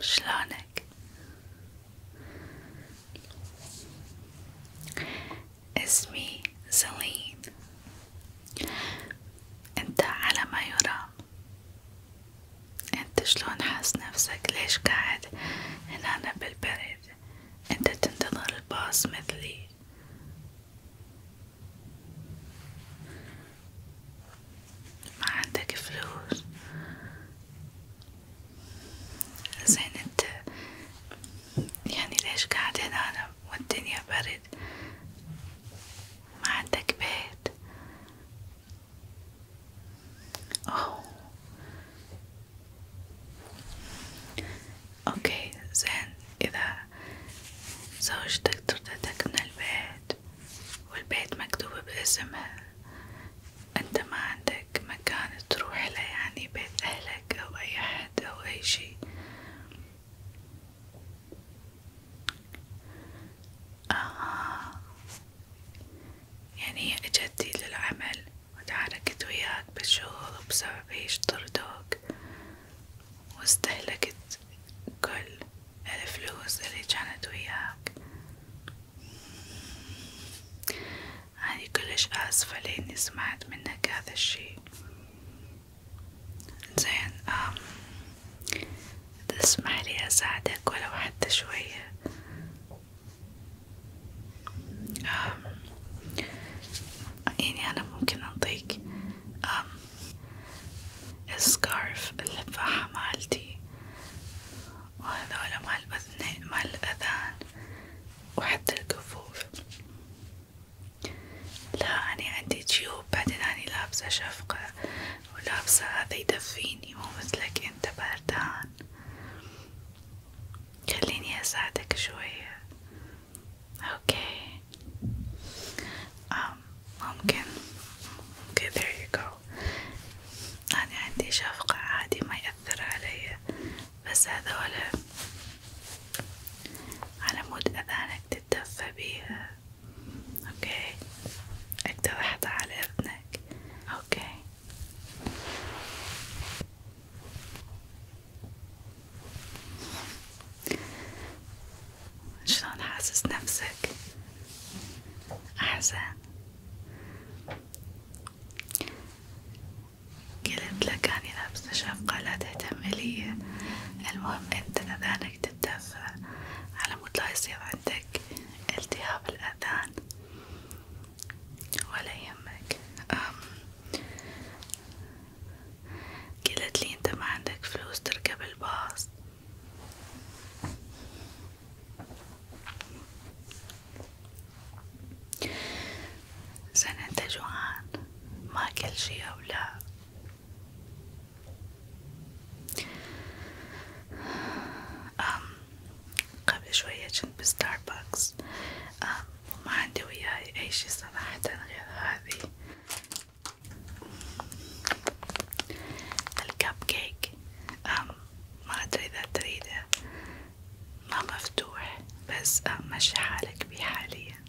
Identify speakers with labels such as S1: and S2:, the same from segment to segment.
S1: شلونك اسمي زلين انت على ما يرام انت شلون حاس نفسك ليش قاعد هنا بالبرد انت تنتظر الباص مثلي ما عندك فلوس زين انت يعني ليش قاعد هنا أنا والدنيا برد ما عندك بيت أوه اوكي زين اذا زوجتك طردتك من البيت والبيت مكتوبة باسمها انت ما عندك مكان تروح يعني بيت اهلك او اي حد او اي شي آه. يعني هي اجت للعمل وتعاركت وياك بالشهور وبسببي شطردوك واستهلكت كل الفلوس اللي كانت وياك أني كلش آسفة لأني سمعت منك هذا الشي زين أم تسمح لي أساعدك ولو حتى شوية يعني أنا ممكن أعطيك السكارف اللفاحة مالتي وهذولا مال الأذنين مال الأذان وحتى الكفوف لا أنا عندي جيوب بعدين أنا لابسة شفقة ولابسة هذا يدفيني مو مثلك أنت بردان خليني أساعدك شوية اوكي أم um, ممكن اوكي okay, there you go أنا عندي شفقة عادي ما يأثر علي بس هذولا على مود أذانك تتدفى بيها اوكي أقدر أحطها على أذنك اوكي شلون حاسس نفسك أحسن قلت لك أني لابسة شفقة لا تهتم لي المهم أنت أذانك تتدفى على مود لا يصير عندك التهاب الأذان ولا يهمك قلت لي انت ما عندك فلوس تركب الباص زين انت جوعان ما كل شي او لا أم قبل شوية كنت بستاربكس وما عندي وياي أي شي صراحة غير هذه الكب كيك ما أدري إذا تريده ما مفتوح بس مشي حالك بيه حاليا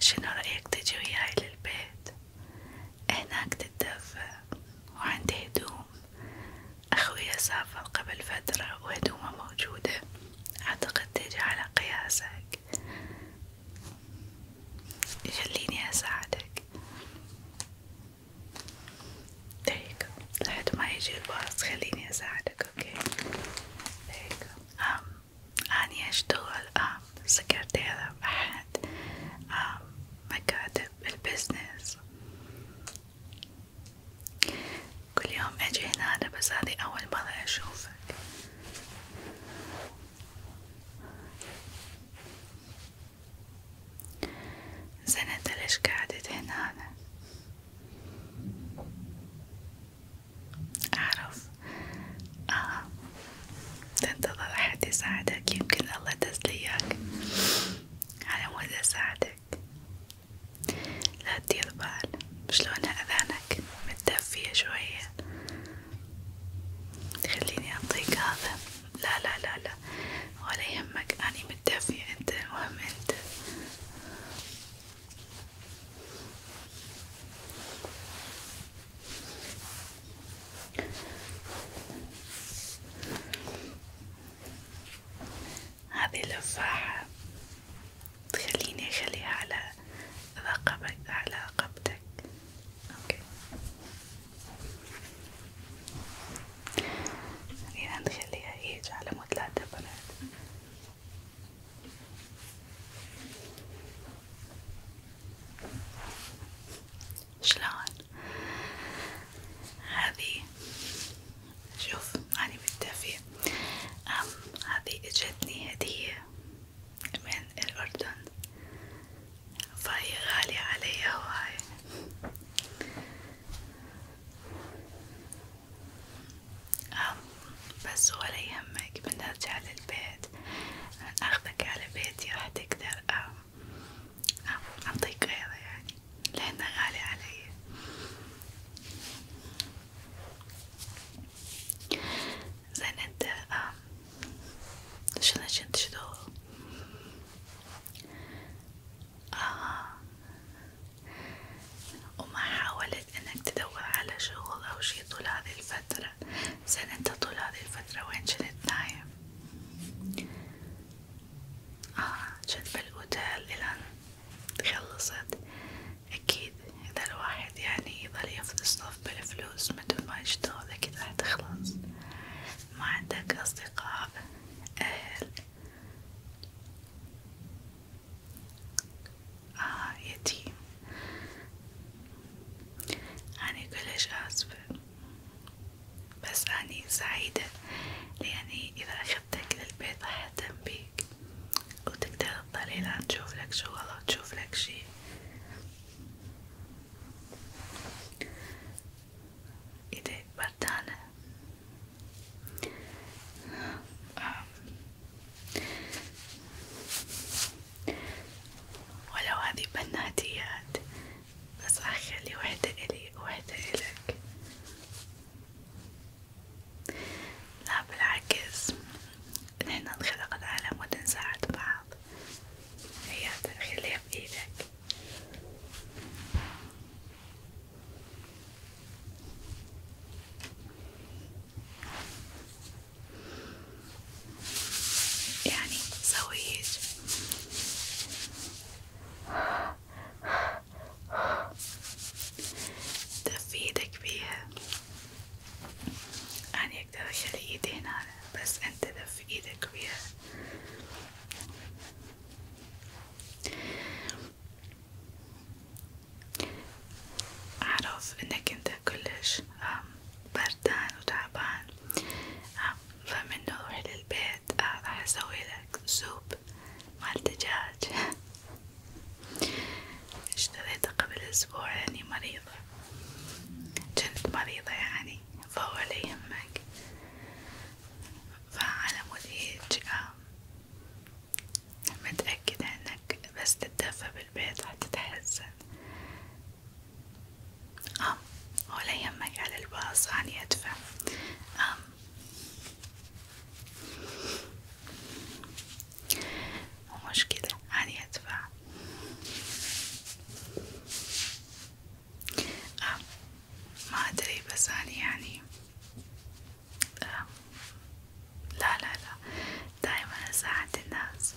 S1: شنو رأيك تجي وياي للبيت؟ هناك تتدفى وعندي هدوم أخويا سافر قبل فترة وهدومه موجودة أعتقد تجي على قياسك يخليني أساعدك دقيقة لحد ما يجي الباص خليني أساعدك أوكي دقيقة أني أشتغل سكرتيرة آه، بأحد آه، مكاتب البزنس كل يوم أجي هنا بس هذه أول مرة أشوفك زين أنت ليش قعدت هنا؟ أعرف آه تنتظر أحد يساعدك يمكن الله تسليك على مود أساعدك لا تدير بال شلونها أذانك متدفية شوية خليني أعطيك هذا لا لا لا لا ولا يهمك أني متدفية أنت المهم أنت هذه اللفاحة تخليني أخليها على رقبك على رقبتك أوكي خلينا نخليها هيج على مود لا تبرد شلون هذه شوف أنا بالدافي أم هذه اجتني هدية من الأردن فهي غالية علي هواي بس ولا يهمك بنرجع للبيت أخذك على بيتي راح تقدر أعطيك غيره يعني لأنه غالي علي زين أنت شنو كنت تشتغل؟ آه وما حاولت انك تدور على شغل او شي طول هذه الفترة زين انت طول هذه الفترة وين كنت نايم اه كنت بالاوتيل الان خلصت اكيد اذا الواحد يعني يظل يفتصف بالفلوس متل ما يشتغل اكيد راح تخلص ما عندك اصدقاء اهل آه يتيم أنا كلش آسفة بس أني سعيدة لأني إذا أخذتك للبيت راح أهتم بيك وتقدر تطلعي لأن تشوف لك شغل أو تشوف لك شي إيديك بردانة آه. ولو هذه بناتيات بس أخلي وحدة إلي وحدة إلك لا بالعكس نحن انخلقت على مود نساعد بعض هيا خليها بإيدك يعني سويت دف ايدك بيها أنا يعني أقدر أشيل ايدي هنا بس أنت دف ايدك بيها أعرف إنك أنت كلش بردان وتعبان فمنه روح للبيت آه، راح أسويلك سوب مال دجاج اشتريته قبل أسبوع لأني يعني مريضة كنت مريضة يعني فهو لا يهمك فعلى مدهج متأكدة انك بس تتدفى بالبيت حتتحسن ام ولا يهمك على الباص اني ادفع ام مو مشكلة اني ادفع آه ما أدري بس أنا يعني آه لا لا لا دايما أساعد الناس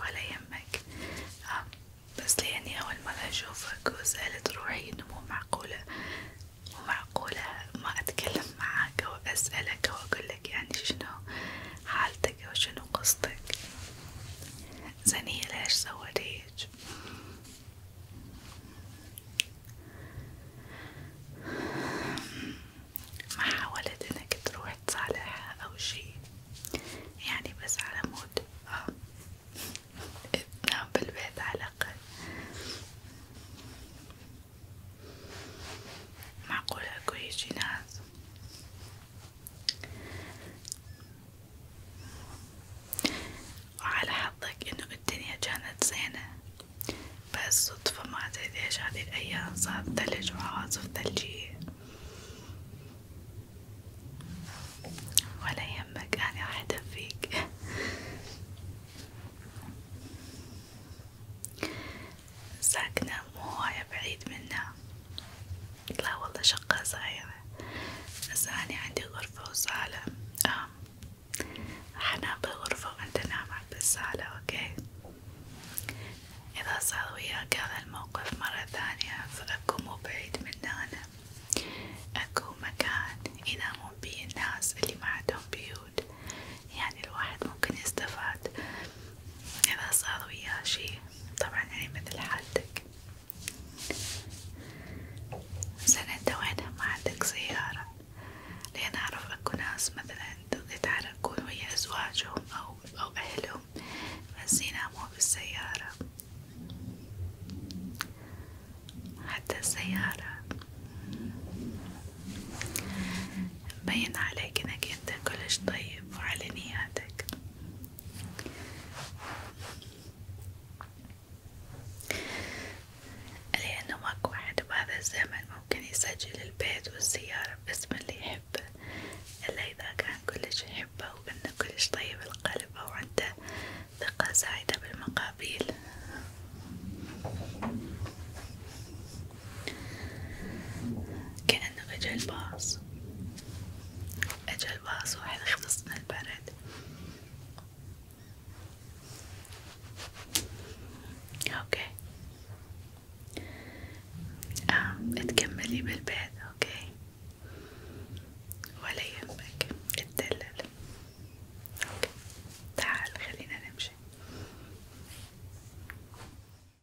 S1: ولا يهمك آه بس لأني أول مرة أشوفك وسألت روحي إنه مو معقولة مو معقولة ما أتكلم معاك أو أسألك أو أقولك يعني شنو حالتك أو شنو قصتك زنية ليش سويت ما حاولت انك تروح تصالحها او شي يعني بس على مود اه تنام بالبيت على الاقل معقولة اكو هيجي ناس وعلى حظك انه الدنيا كانت زينة بس صدفة ما ادري ليش هذه الايام صار ثلج وعواصف ثلجية ولا يهمك انا راح ادفيك ساكنة مو هواية بعيد منا لا والله شقة صغيرة بس أنا عندي غرفة وصالة آه. حنام بالغرفة وأنت نام بالصالة أوكي إذا صار وياك هذا الموقف مرة ثانية فأكو مو بعيد من هنا أكو مكان ينامون بيه الناس اللي ما عندهم بيوت يعني الواحد ممكن يستفاد إذا صار وياه شي طبعا يعني مثل حالتك زين انت وينها ما عندك سيارة لأن أعرف أكو ناس مثلا يتعاركون ويا أزواجهم أو أو أهلهم بس يناموا بالسيارة حتى السيارة مبين عليك إنك أنت كلش طيب وعلى نياتك لأنه ماكو واحد بهذا الزمن ممكن يسجل البيت والسيارة باسم اللي يحبه إلا إذا كان كلش يحبه وإنه كلش طيب القلب أو عنده ثقة زايدة بالمقابيل كأنه إجا الباص أجل باص واحد خلص من البرد اوكي آه، تكملي بالبيت اوكي ولا يهمك اتدلل اوكي تعال خلينا نمشي